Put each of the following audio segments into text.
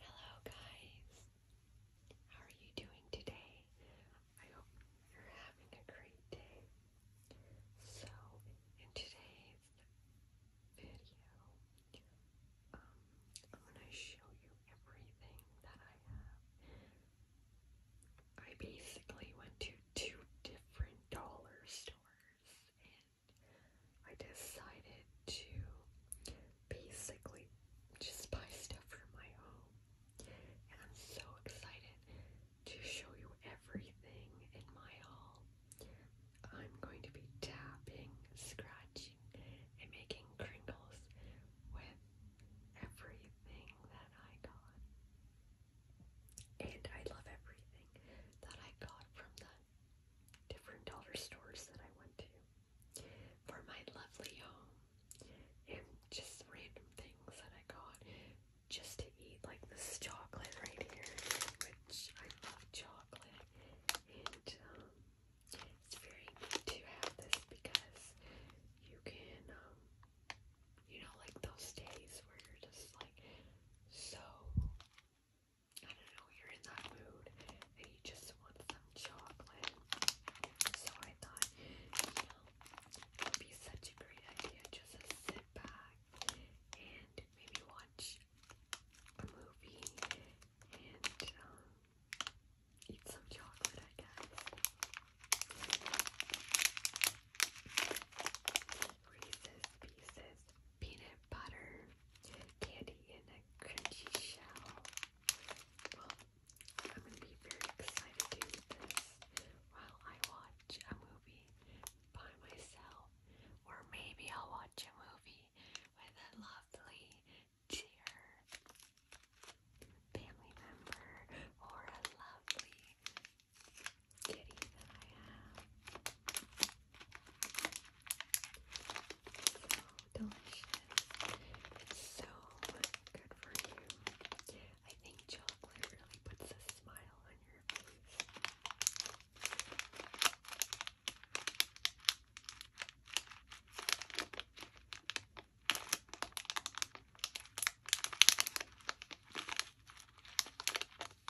Hello, guys. How are you doing today? I hope you're having a great day. So, in today's video, um, I'm going to show you everything that I have. I basically went to two different dollar stores I decided to basically just buy stuff for my home. And I'm so excited to show you everything in my haul. I'm going to be tapping, scratching, and making crinkles with everything that I got. And I love everything that I got from the different dollar stores that I went to for my lovely home. And just random things that I got just to eat, like this chocolate right here, which I love chocolate. And um, it's very neat to have this because you can, um, you know, like those days where you're just like so I don't know, you're in that mood and you just want some chocolate. So I thought, it'd be such a great idea just to sit back and maybe watch a movie and um, eat some chocolate, I guess. Reese's Pieces peanut butter candy in a crunchy shell. I'm gonna be very excited to eat this while I watch a movie by myself, or maybe I'll watch a movie with a lovely dear family member or a lovely kitty that I have. Oh, delicious. It's so good for you. I think chocolate really puts a smile on your face.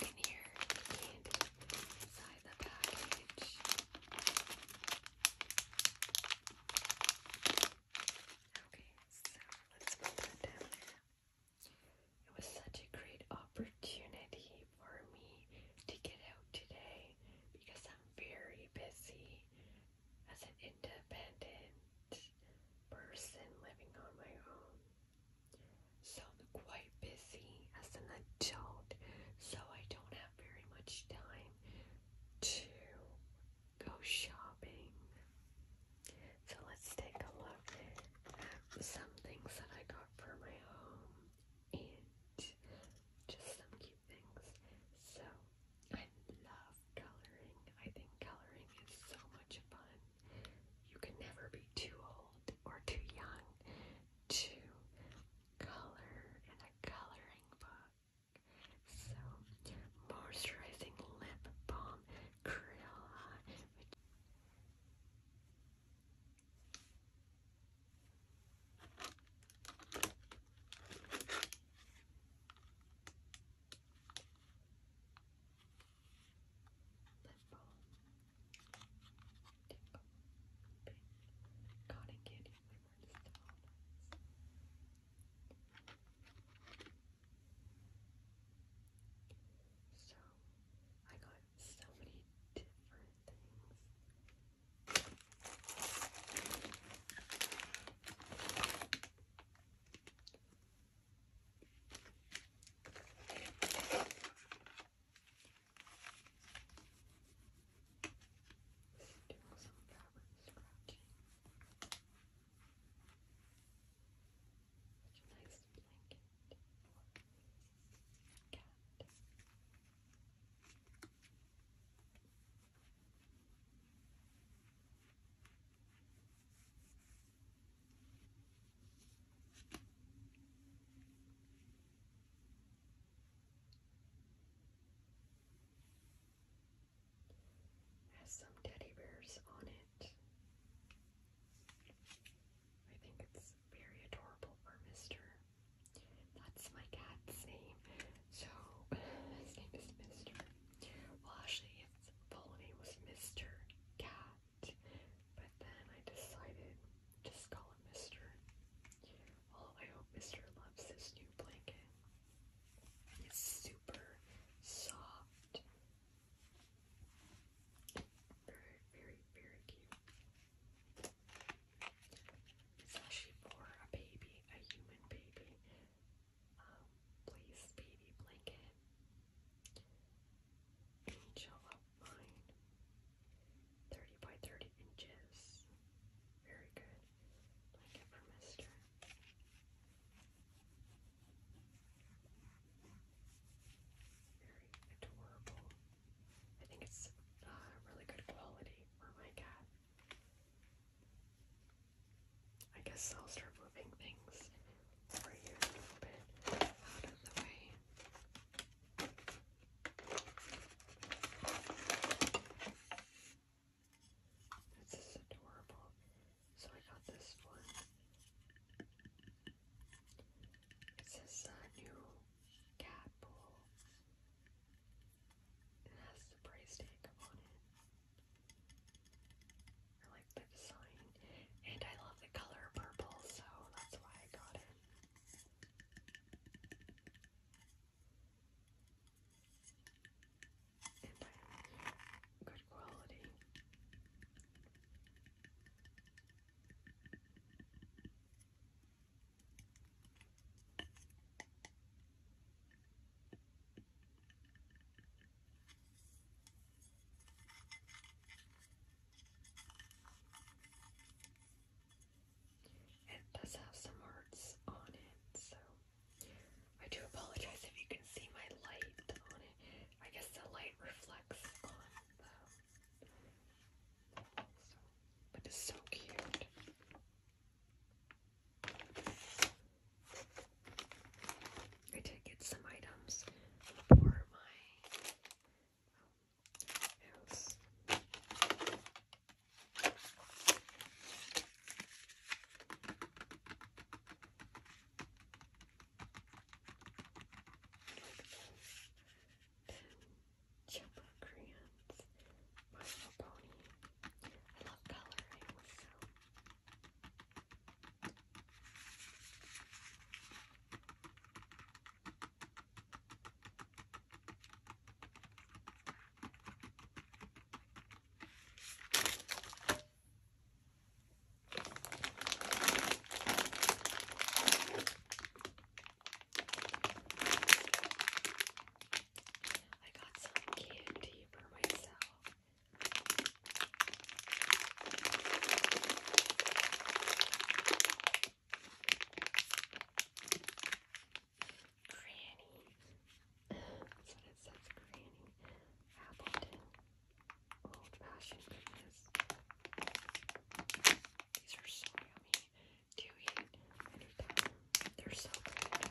can hear candy inside the package. Okay, so let's put that down It was such a great opportunity for me to get out today because I'm very busy as an independent person living on my own. So quite busy as an adult, so I don't have very much time to go shopping. So let's take a look at some things that I got for my home and just some cute things. So I love coloring. I think coloring is so much fun. You can never be too old or too young to color in a coloring book. So, moisturizing lip balm, Crayola, Limbo, Tickle, Pink, Cotton Candy So, I got so many different things. Doing some fabric scratching. nice blanket cat. Has some teddy bears on it. I think it's very adorable for Mister. That's my cat's name. So his name is Mister. Well, his full name was Mr. Cat, but then I decided just call him Mr. Well, I hope Mr. loves this new blanket. It's super soft. Very, very, very cute. It's actually for a baby, a human baby um, Blaze baby blanket. Angel of mine. 30 by 30 inches. Very good. Blanket for Mister. Very adorable. I think it's uh, really good quality for my cat. I guess I'll start moving things over here a little bit out of the way. This is adorable. So I got this one. It says new cat bowl. It has the price tag on it. I like the design. And I love the color purple, so that's why I got it. And I'm good quality. It does have some hearts on it, so I do apologize if you can see my light on it. I guess the light reflects on but it's so cute. I did get some items for my house. Chipper crayons, I love coloring, I got some candy for myself. Granny. That's what it says, Granny. Appleton. Old fashioned These are so yummy to eat anytime. They're so good.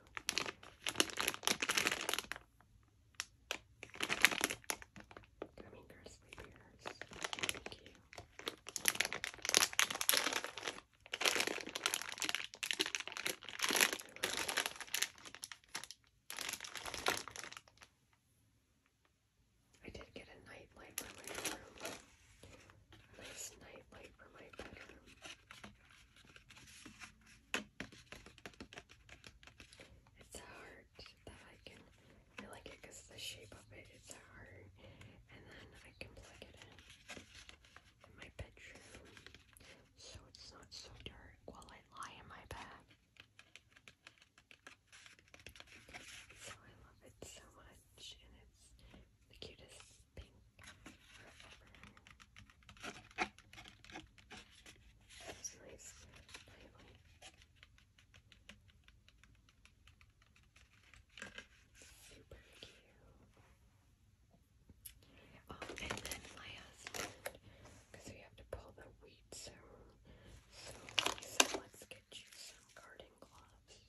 I Thank you. did get a night for my room. A nice night for my bedroom. It's a heart that I can, I like it because the shape of it, it's a heart. And then I can plug it in in my bedroom so it's not so dark while I lie in my bed. So I love it so much and it's the cutest pink Super cute. Oh, and then my because we have to pull the wheat so he said, let's get you some garden gloves.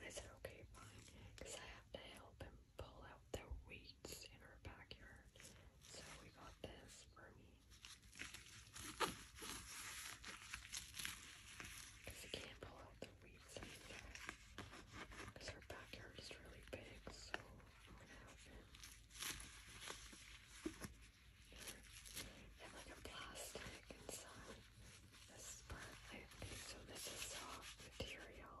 I said, okay, fine, because I have to help him pull out the weeds in our backyard. So we got this for me. Because you can't pull out the weeds anymore. Because our backyard is really big, so i have like a plastic inside. This part, I, so this is soft material.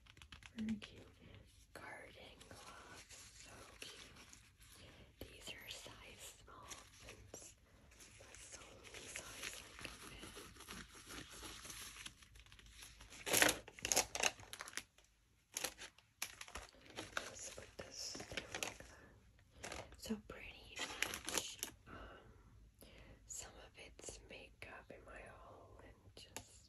Very cute. Garden gloves. So cute. These are size small That's so size So pretty much. Um, some of it's makeup in my haul and just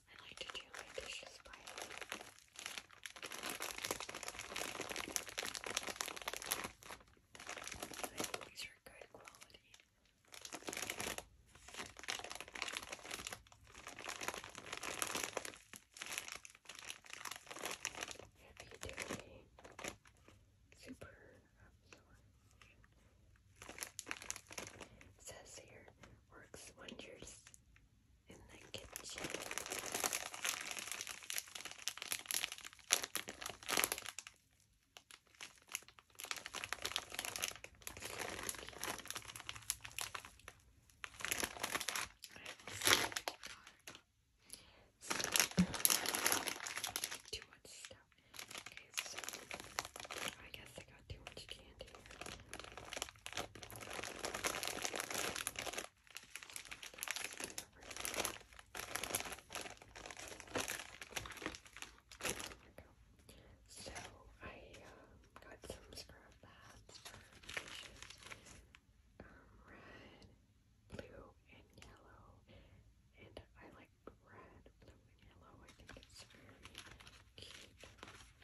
I like to do my dishes by hand. These are good quality. Happy Daily Super Absorption. Um, says here, works wonders in the kitchen. Too much stuff. Okay, so I guess I got too much candy so I uh, got some scrub pads for dishes. Um, red, blue, and yellow. And I like red, blue, and yellow. I think it's very cute.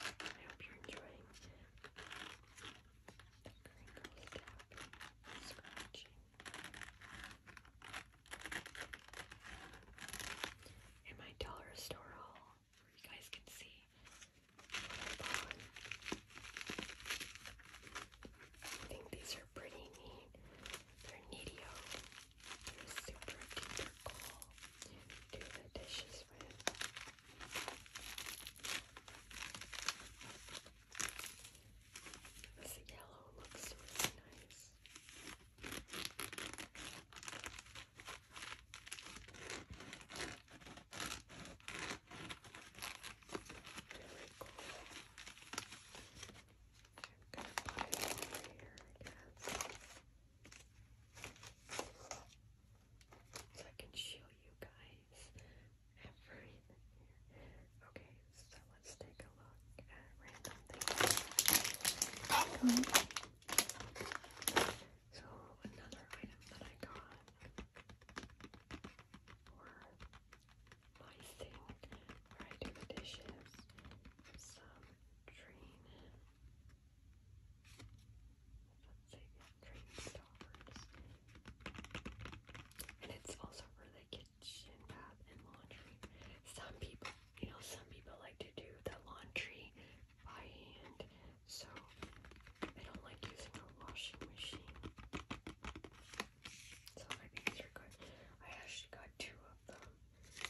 I hope you're enjoying scratching. In my dollar store haul, you guys can see I think these are pretty neat. They're neato super duper cool do the dishes with. This yellow looks really nice. cool. I'm gonna put it over here, I guess. So I can show you guys everything Okay, so let's take a look at random things. So another item that I got for my sink where I do the dishes. Some drain it's also for the kitchen, bath, and laundry. Some people, you know, some people like to do the laundry by hand, so I don't like using a washing machine. So I think are good. I actually got two of them.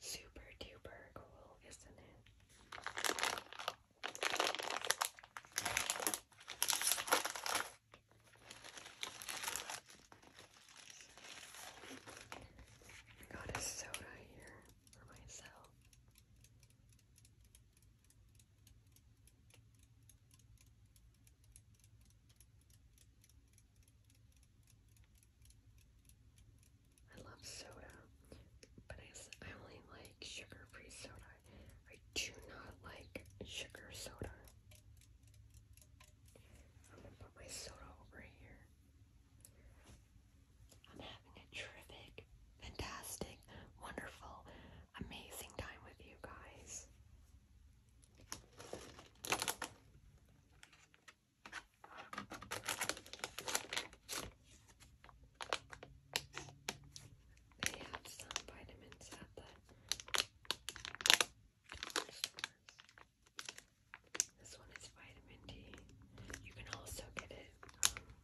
Super duper cool, isn't it? got a soda here for myself. I love soda, but I, I only like sugar-free soda. I do not like sugar soda. I'm gonna put my soda over here. I'm having a terrific, fantastic, wonderful, amazing time with you guys. They have some vitamins at the This one is vitamin D. You can also get it um,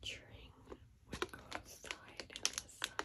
during when you go outside in the sun.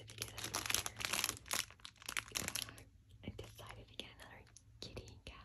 decided to get another. Uh, I decided to get another kitty cat.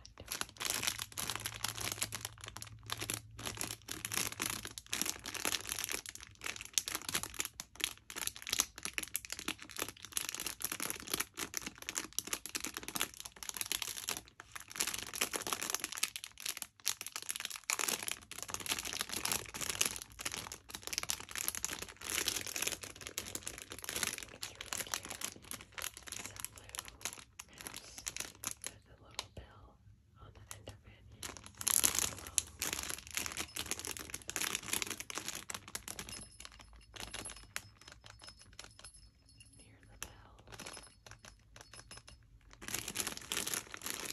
There's a little bell on the end of it. Near the bell.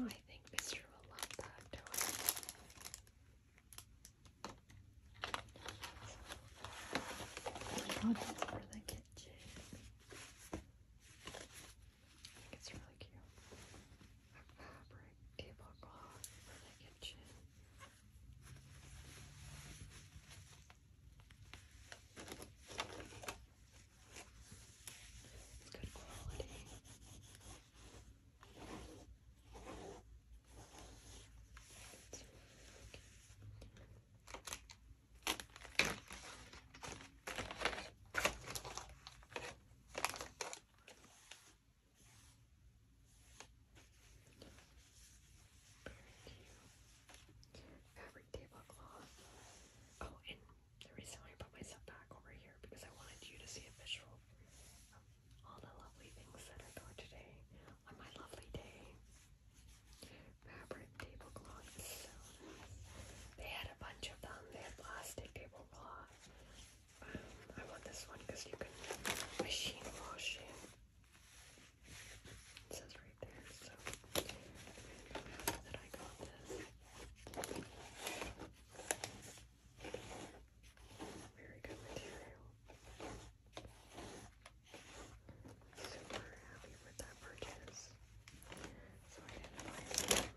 Oh, I think Mr. will love that toy. Oh, so, for the kitchen. it's really cute. A fabric tablecloth for the kitchen. It's good quality. very cute. Every tablecloth. Oh, and the I put myself back over here because I wanted you to see a visual of all the lovely things that I got today on my lovely day. Fabric tablecloth They had a bunch of them. They had plastic tablecloth. Um, I want this one because you can machine wash it. It says right there. So happy that I got this. Very good material. Super happy with that purchase. So I didn't buy some touch.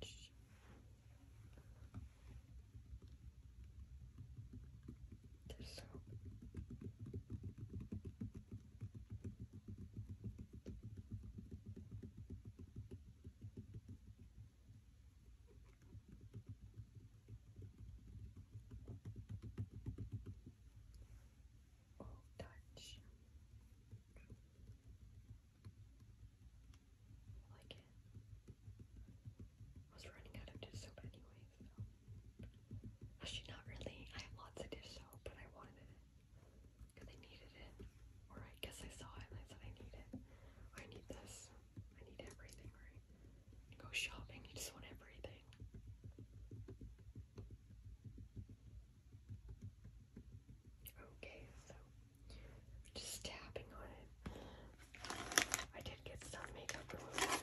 This Oh, touch. like it. I was running out of dissoap anyway, so Actually, not really. I have lots of dish soap, but I wanted it because I needed it. Or I guess I saw it and I said I need it. I need this. I need everything, right? go shopping, you just want everything. Okay, so just tapping on it. I did get some makeup remover.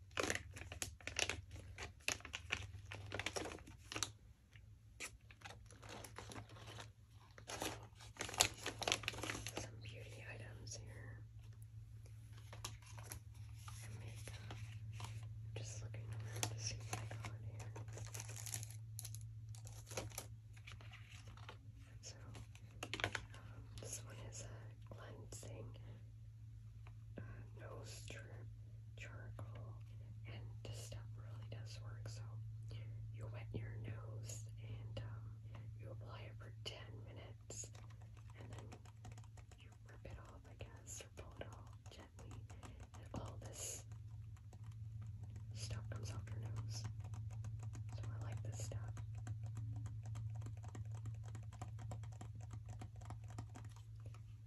Some beauty items here. just looking around to see what I got here. So, um, this one is a uh, cleansing nose strip, charcoal, and this stuff really does work. So you wet your nose and um, you apply it for 10 minutes, and then you rip it off, I guess, or pull it off gently, and all this stuff comes off your nose. So I like this stuff.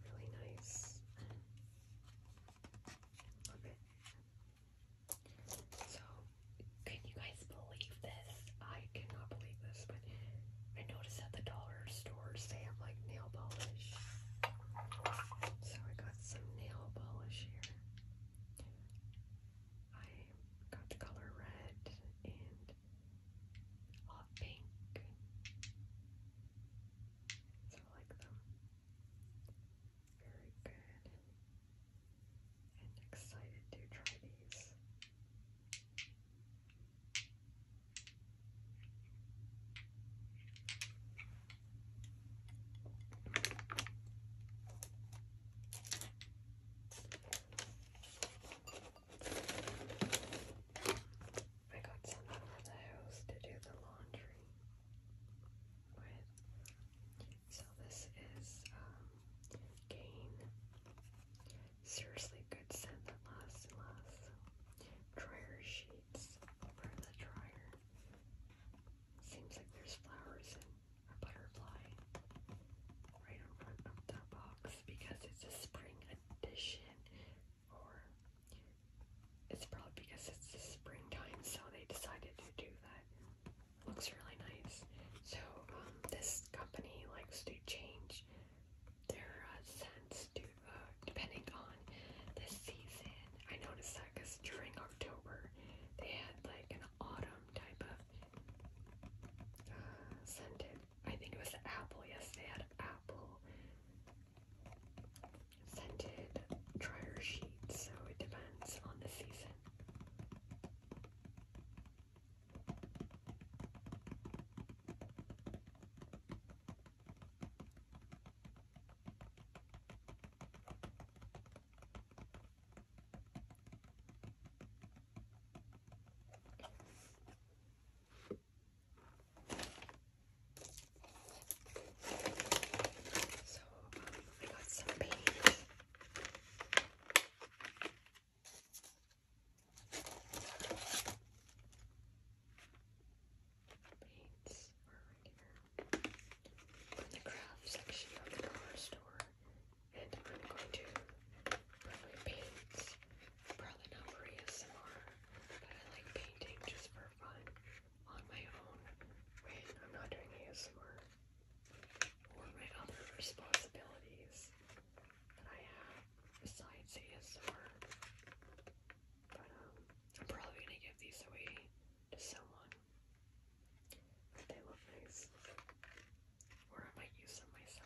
Really nice. So, can you guys believe this? I cannot believe this, but I noticed at the dollar stores they have like nail polish. So I got some nail polish here. I got the color red and hot pink. So I like them. Very good. And excited to try these. I got someone from the house to do the laundry So this is um, Gain. Seriously good scent that lasts and lasts. Dryer sheets over the dryer. Seems like there's flowers and a butterfly right in front of the box because it's a spring edition or it's probably because it's the springtime, so they decided to do that. Looks really nice. So um, this company likes to change their uh, scents to uh, depending on the season. I noticed that because during October they had like an autumn type of uh, scented I think it was the apple. Yes, they had apple scented dryer sheets, so it depends on the season. So um, I got some beads. Beads the craft section of the dollar store, and I'm going to my paints. Probably not for ASMR, but I like painting just for fun on my own when I'm not doing ASMR or my other responsibilities that I have besides ASMR. But um, I'm probably gonna give these away to someone. they look nice. Or I might use them myself.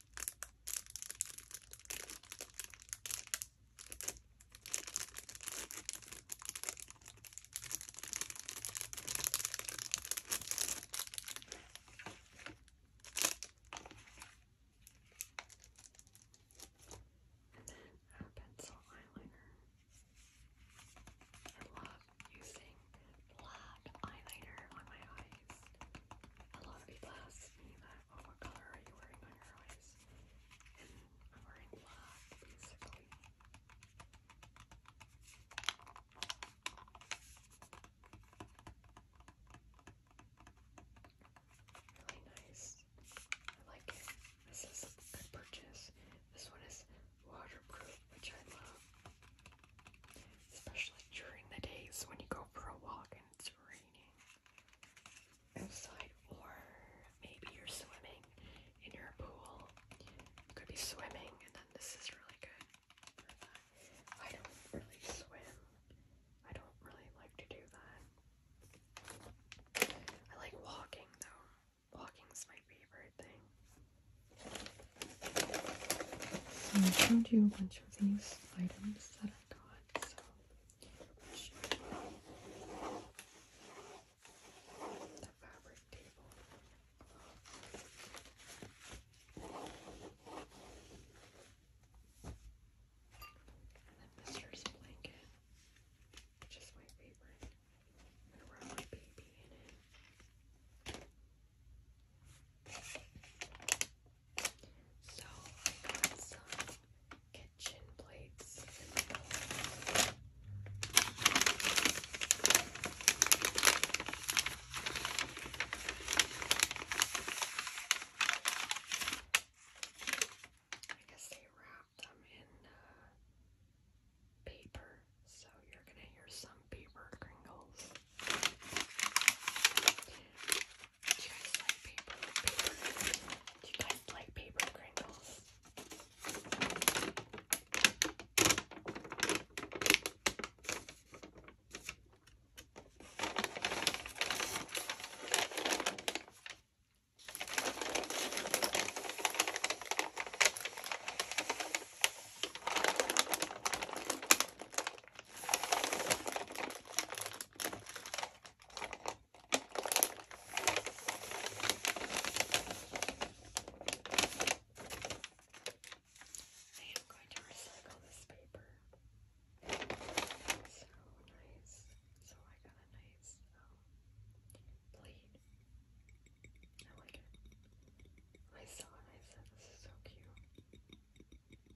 And then our pencil eyeliner. I love using black eyeliner on my eyes. A lot of people ask me that, oh, what color are you wearing on your eyes? I'm wearing black, basically. Really nice. I like it. This is a good purchase. This one is waterproof, which I love. Especially during the days when you go for a walk it's raining outside, or maybe you're swimming in your pool. could be swimming, and then this is really good. I don't really swim. I don't really like to do that. I like walking though. Walking's my favorite thing. So I showed you a bunch of these items that that I the fabric table. And then Blanket, which is my favorite. I'm gonna wrap my baby in it. So some kitchen plates I guess they wrap them in uh, paper, so you're gonna hear some paper crinkles. Do you guys like paper? Do you guys like paper Pringles? I am going to recycle this paper. so nice. So I got a nice um, I like it. I saw it I said, this is so cute.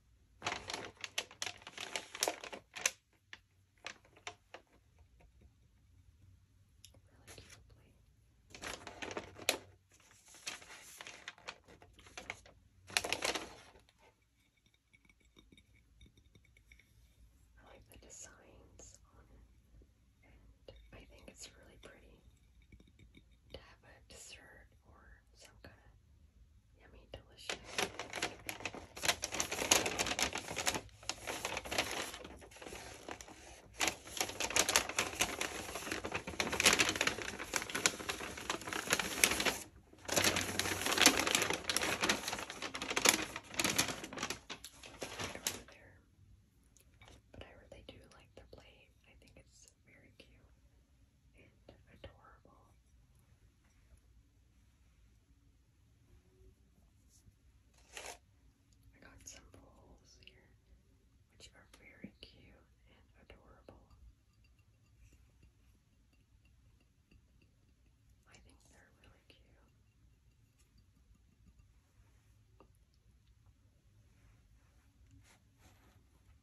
cutely. I like the designs on it, and I think it's really pretty to have a dessert or some kind of Yummy, delicious. Over there. But I really do like the plate. I think it's very cute and adorable. I got some bowls here, which are very cute and adorable. I think they're really cute.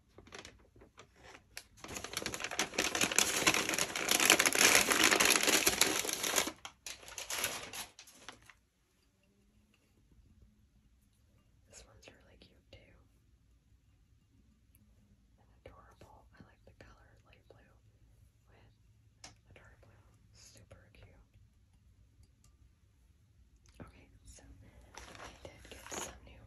This one's really cute too. adorable. I like the color light blue with the dark blue. Super cute. Okay, so I did get some new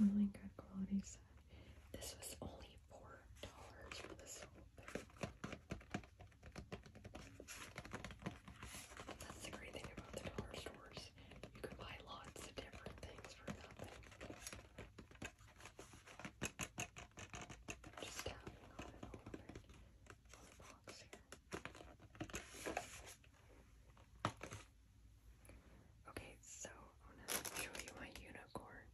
Really good quality set. This was only four dollars for this whole thing. That's the great thing about the dollar stores. You can buy lots of different things for nothing. Just tapping on it a little box here. Okay, so I'm gonna show you my unicorn.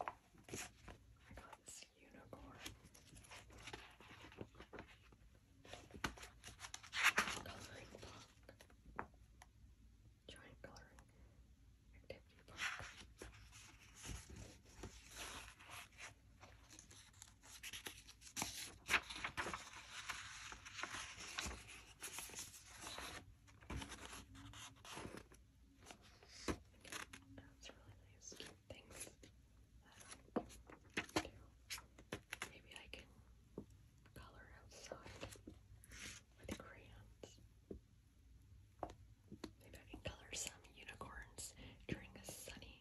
I got this unicorn. Coloring book. Giant coloring activity book. That's really nice. maybe I can color outside with crayons. Maybe I can color some unicorns during a sunny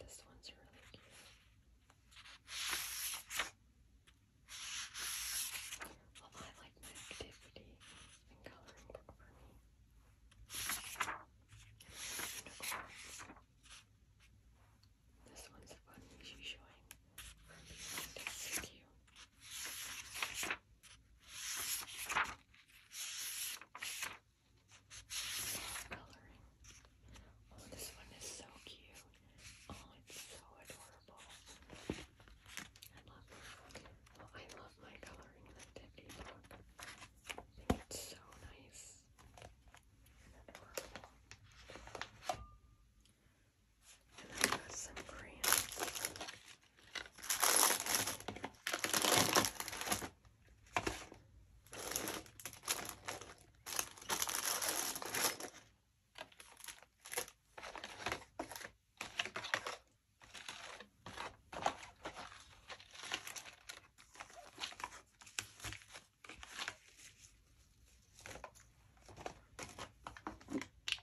This one's really cute. I like my activity coloring book for me. This one's fun she's showing. Her behind. cute. Oh, this one is so cute. Oh, it's so adorable. Oh, I love my coloring activity book. I think it's so nice adorable. And I've got some cream.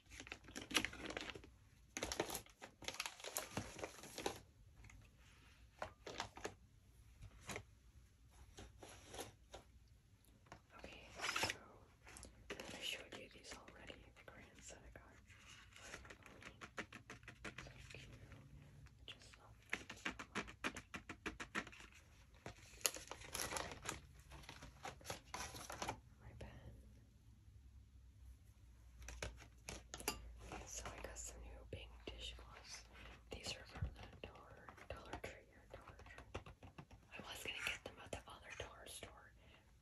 Okay, so I showed you these already, the grants that I got. So cute. just love My pen. So I got some new pink dishcloths. These are from the Dollar, Dollar Tree Dollar Tree. I was gonna get them at the other dollar store,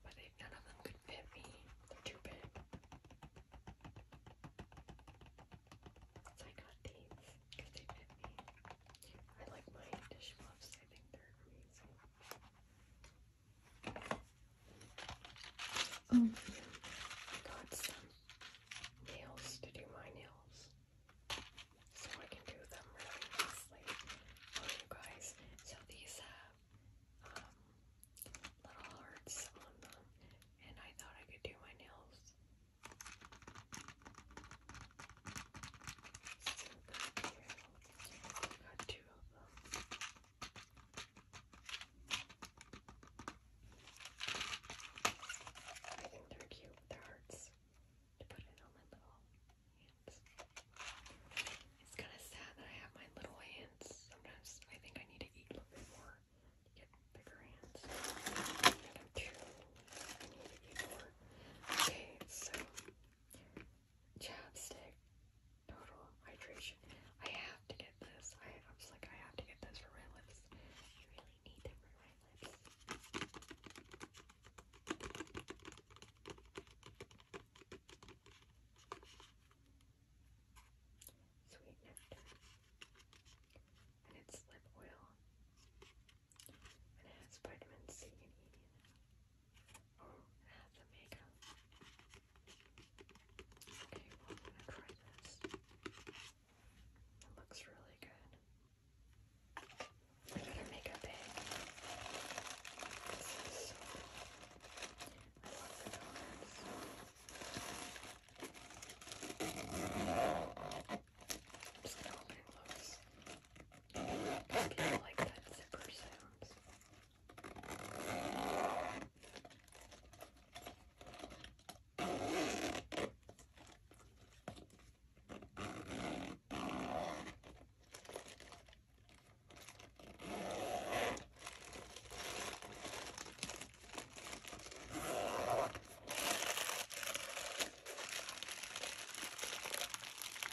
but none of them could fit me. They're too big. So I got these because they fit me. I like my dishcloths. I think they're amazing. Oh, got some nails to do my nails. So I can do them really nicely for you guys. So these have um, little hearts on them, and I thought I could do my nails. So got I think they're cute with their hearts to put it my little hands. It's kind of sad that I have my little hands. Sometimes I think I need to eat a little bit more get bigger hands. I need to eat more. Okay, so Chapstick Total Hydration. I have to get this. I, was like, I have to get this for my lips. I really need them for my lips. Sweet it's lip oil. And it has vitamin C have the makeup. Okay, well, I'm gonna try this. looks really good. I'm gonna make This is so I just gonna hold it I kind of like that zipper sounds.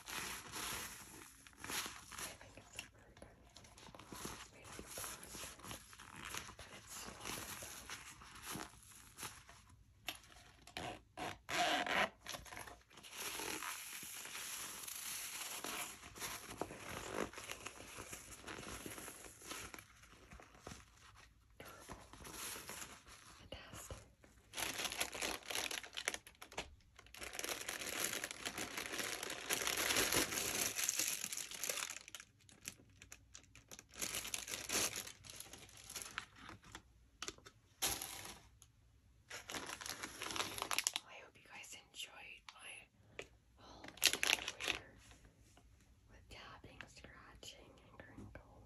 think it's a burger. It's made of pasta, but it's so good though. Fantastic. Well, I hope you guys enjoyed my whole tutorial with tapping, scratching, and crinkle.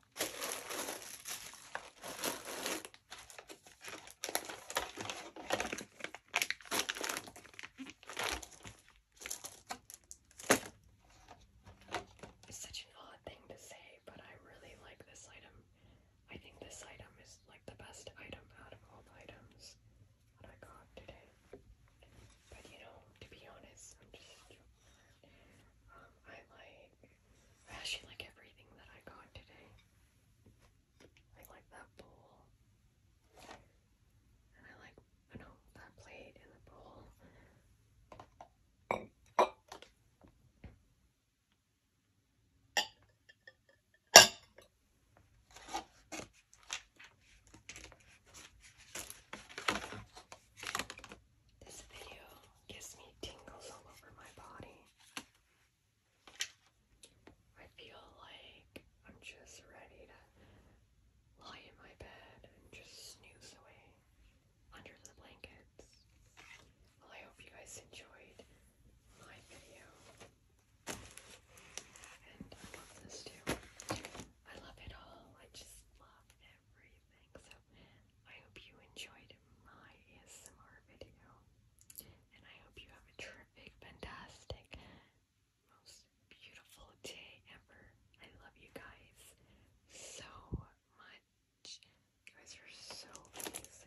It's such an odd thing to say, but I really like this item. I think this item is like the best item out of all items that I got today. But you know, to be honest, um, I like I actually like everything that I got today. I like that bowl. And I like, I know, that plate and the bowl. This video gives me tingles all over my body. I feel like I'm just ready to lie in my bed and just snooze away under the blankets. I hope you guys enjoyed my video. And I love this too. I love it all. I just love everything everything. I hope you enjoyed my ASMR video. And I hope you have a terrific, fantastic, most beautiful day ever. I love you guys so much. You guys are so amazing.